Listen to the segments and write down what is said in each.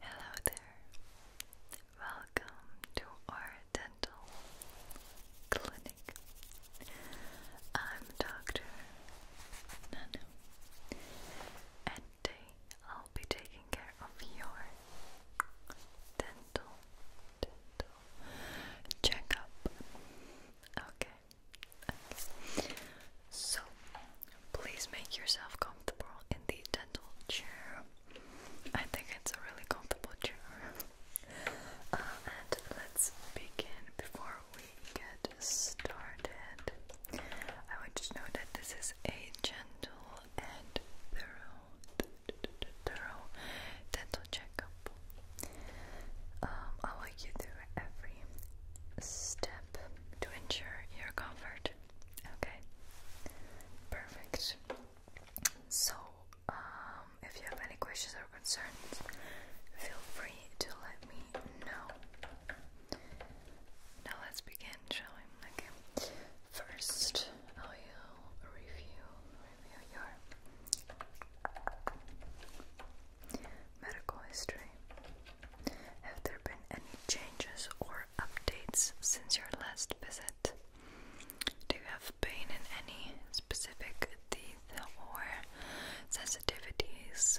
Hello there. Welcome to our dental clinic. I'm Dr. Nanu, and today I'll be taking care of your dental dental checkup. okay. So Please make yourself comfortable in the dental chair. I think it's a really comfortable chair. Uh, and let's begin before we get started. I want to know that this is a gentle and thorough, thorough dental checkup. Um, I want you to every step to ensure your comfort Okay, perfect. So, um, if you have any questions or concerns, feel free to let me know. Now, let's begin, shall Okay, first I will review, review your medical history. Have there been any changes or updates since your last visit? Do you have pain in any specific teeth or sensitivities?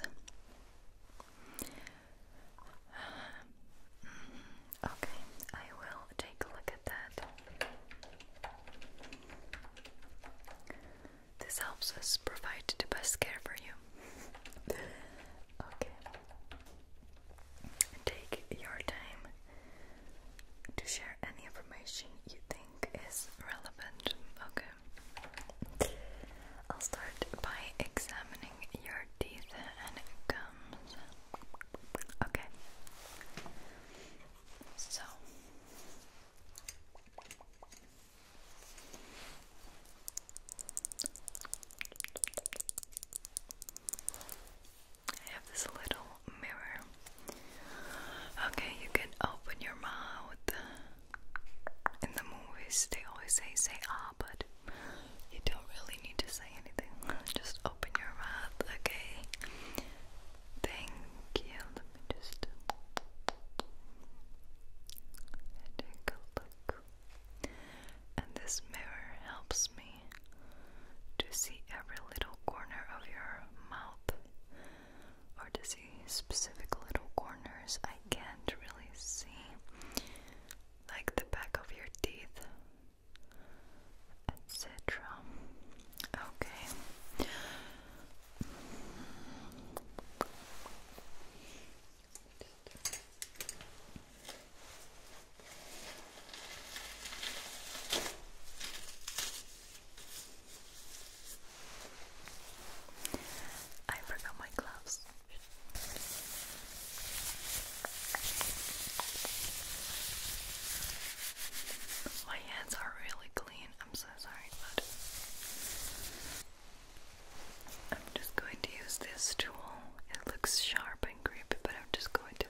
Okay, I will take a look at that. This helps us provide the best care for you. okay. Take your time to share any information you think is relevant. Okay. I'll start by examining your teeth and gums. Okay. So I have this little mirror. Okay, you can open your mouth. In the movies, they always say, say ah, but you don't really need to say anything. Just open your mouth, okay? Thank you. just take a look. And this mirror helps me to see every little corner of your mouth or to see specific little corners I can't really see, like the back of your teeth, etc. Okay. I forgot my gloves. My hands are really clean. I'm so sorry, but I'm just going to use this tool. It looks sharp, but I'm just going to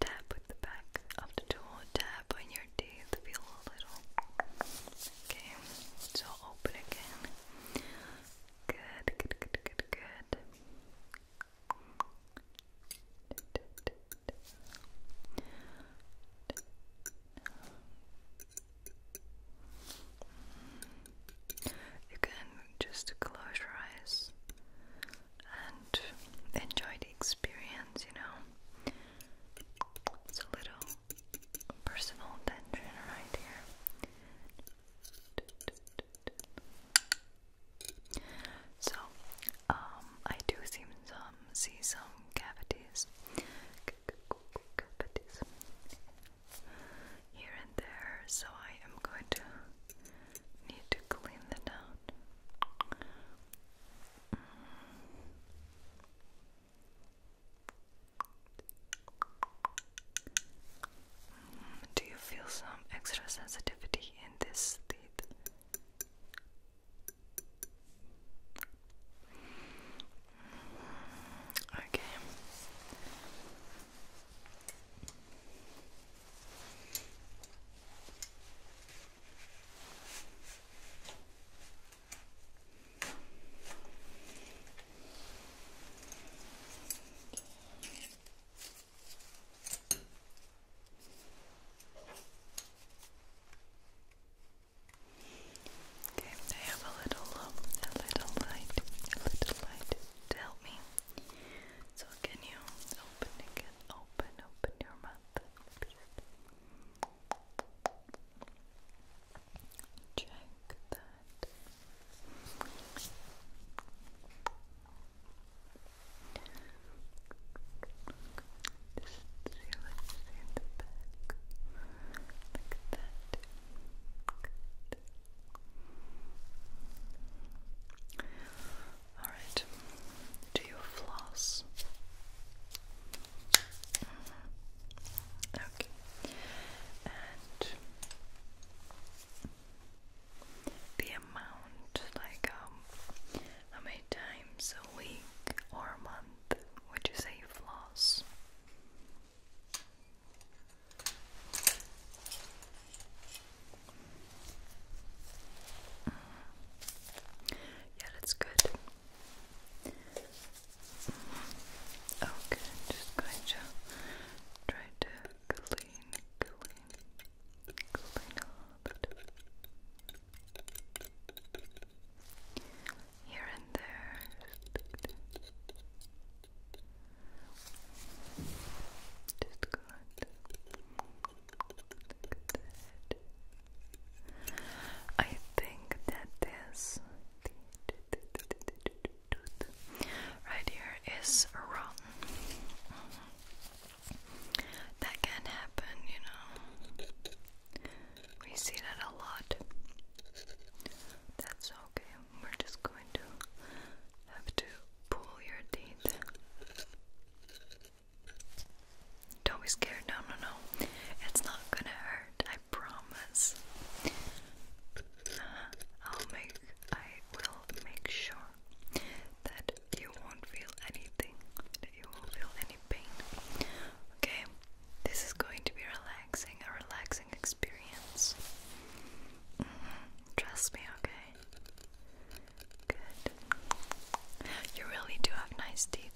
tap with the back of the tool, tap on your teeth, feel a little. Okay, so open again. Good, good, good, good, good you can just close your eyes and enjoy the experience, you know. It's a little personal tension right here. So, um, I do see some cavities here and there, so I am going to need to clean that out. Mm. do you feel some extra sensitivity in this teeth? Mm. Okay. Okay, I have a little, um, a little light, a little light to me so can you open again? Open, open your mouth. Check that. Just see, let in the back. Like that. Good. Alright, do you floss? Mm-hmm. Okay, and the amount like um, how many times a week or month would you say you floss? Yeah, that's good. Oh, okay, just going to try to clean, clean, clean a here and there. Just go ahead. I think that this right here is wrong. That can happen, you know. We see that a lot. That's okay. We're just going to have to pull your teeth. Don't be scared. No, no, no. It's not gonna hurt. I promise. Uh, I'll make. I will make sure that you won't feel anything. That you won't feel any pain. Okay. This is going to be relaxing. A relaxing experience. Mm-hmm. Trust me, okay? Good. You really do have nice teeth.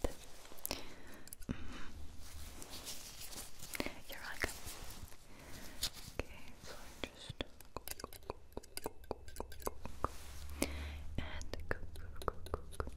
You're welcome. Okay, so I just and good and above.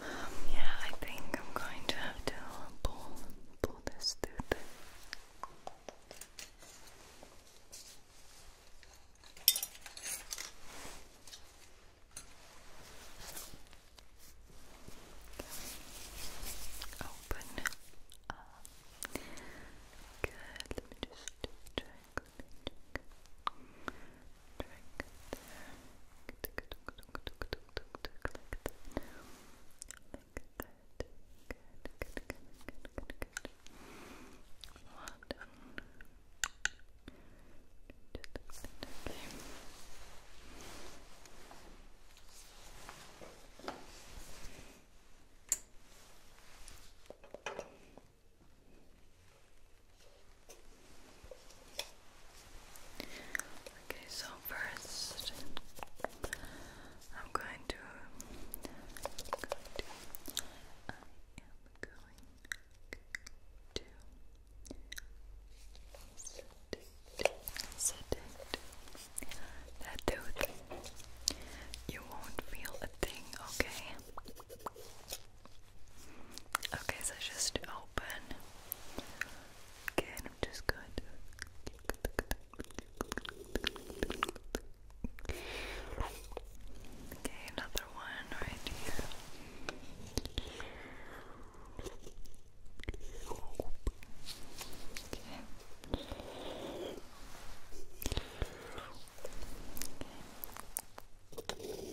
Um, yeah, I think I'm going to have to pull, pull this tooth. Open Good. Let me just check. Let Good, good, good, good, good, good, good. Well done. Okay, so first I'm going to I'm going to sedate sedate that dude. You won't feel a thing, okay? Okay, so just open Again, i just going Okay, another one right here. Okay.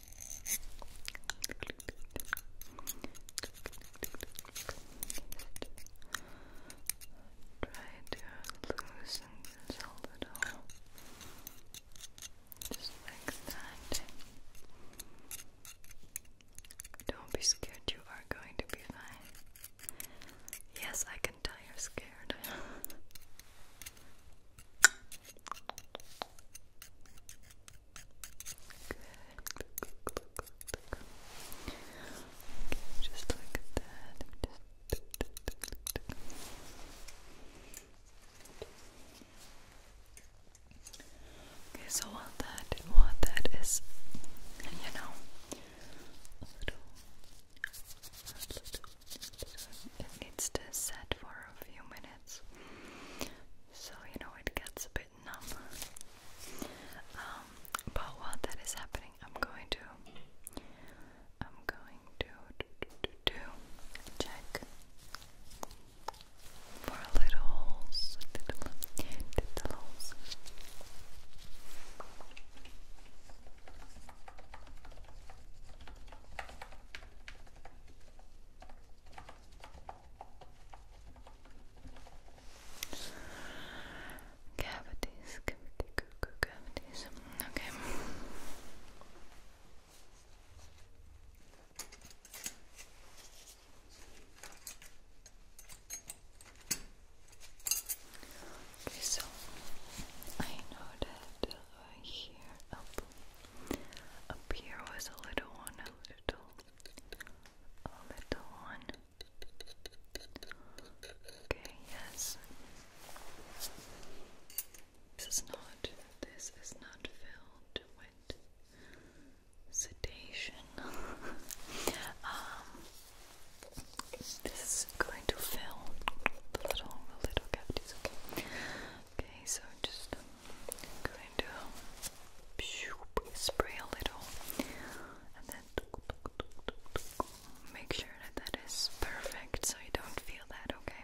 Try to loosen this a little, just like that. Don't be scared, you are going to be fine. Yes, I can tell you're scared. Okay, just like that. Just... Okay, so what that what that is, you know, a little, a little, it needs to set for a few minutes. So, you know, it gets a bit numb. Um, but while that is happening, I'm going to. I'm going to do, do, do, do check for little holes. Little, little holes. Cavities, cavity, cuckoo, Okay. so I know that uh, here up up here was a little one, a little, a little one. Okay, yes. This is not, this is not filled with sedation. um, this is going to fill the little, the little cavities, okay? Okay, so just going to spray a little and then make sure that that is perfect so you don't feel that, okay?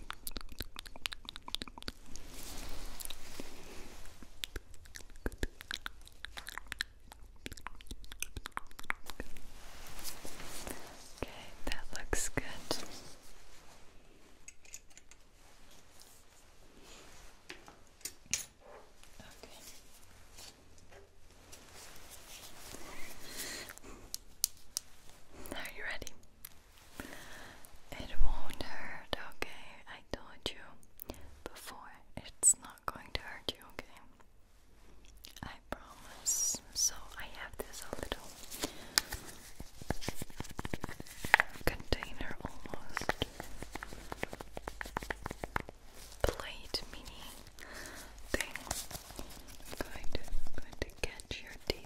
Okay, that looks good. Okay. Are you ready? It won't hurt, okay? I told you before, it's not going to hurt you, okay? I promise. So I have this little container almost. Plate mini thing. I'm going to, i your teeth.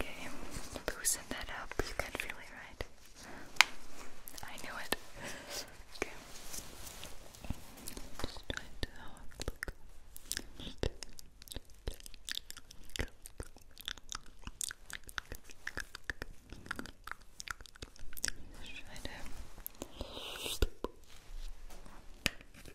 Okay, loosen that up. You can feel it, right? I knew it. Okay. Okay,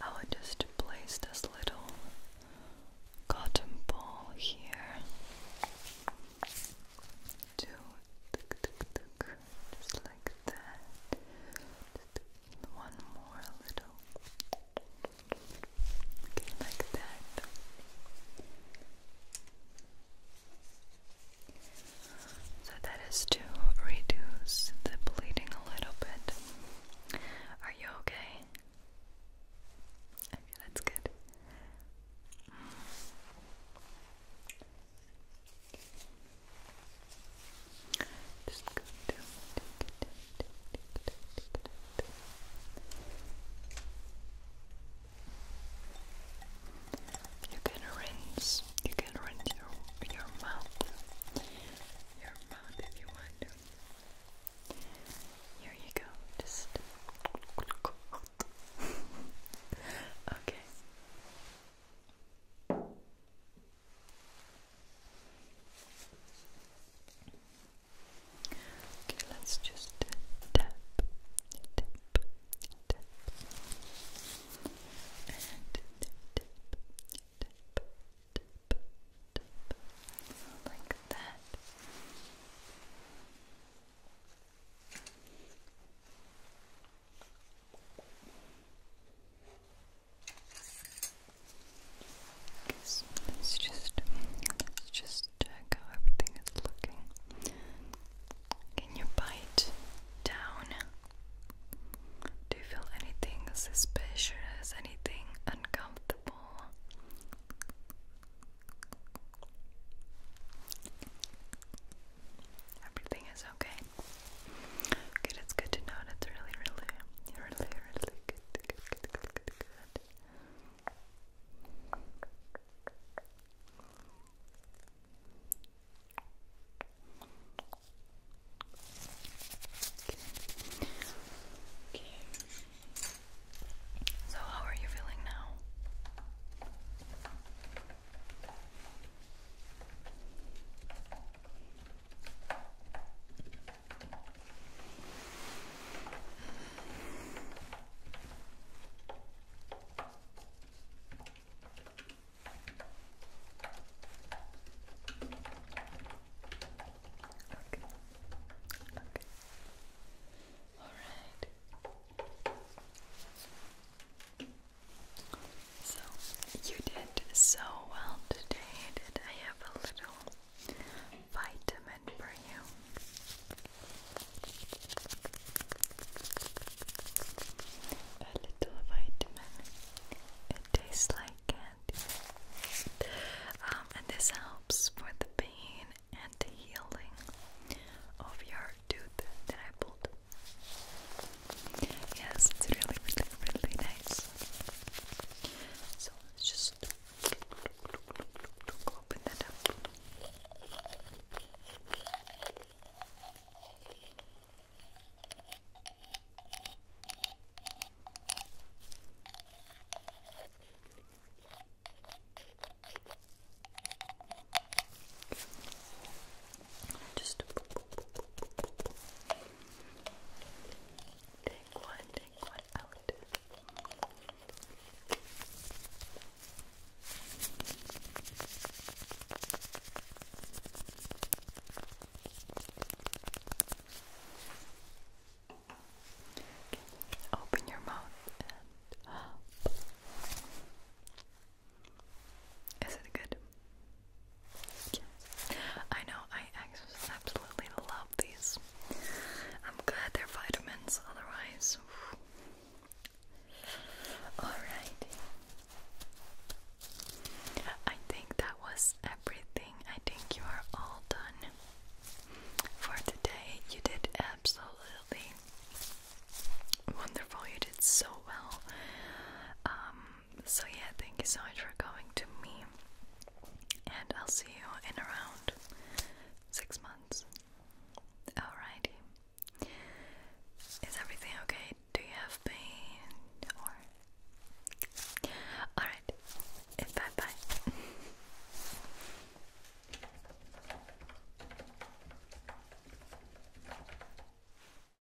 I will just place this little cotton ball here. Two, just like that one more little. Okay, like that. So that is to reduce the bleeding a little bit. Are you okay? Okay, that's good. Just You can rinse, you can rinse your, your mouth, your mouth if you want Here you go, just... okay. Okay, let's just tap, tap, tap, tap, tap, tap, tap, like that. So let's just let's just check uh, how everything is looking. Can you bite down? Do you feel anything suspicious? Anything uncomfortable? Everything is okay. Okay. Okay, that's good to know. That's really, really, really, really good. Good, good, good, good, good. Okay. okay. So, how are you feeling now? Okay. Okay. All right. So, you did so well today I have a little vitamin for you. A little vitamin. It tastes like candy. Um, and this helps for the pain and the healing of your tooth that I pulled. Yes, it's really, really, really nice. So let's just open that up. Just take one, take one out. Open your mouth Is it good? Yes. I know, I absolutely love these. I'm glad they're vitamins, otherwise. Alright. I think that was everything. I think you are all done for today. You did absolutely wonderful. You did so well. Um, so yeah, thank you so much for coming to me, and I'll see you in around six months. Alrighty. Is everything okay? Do you have pain? alright. Bye bye.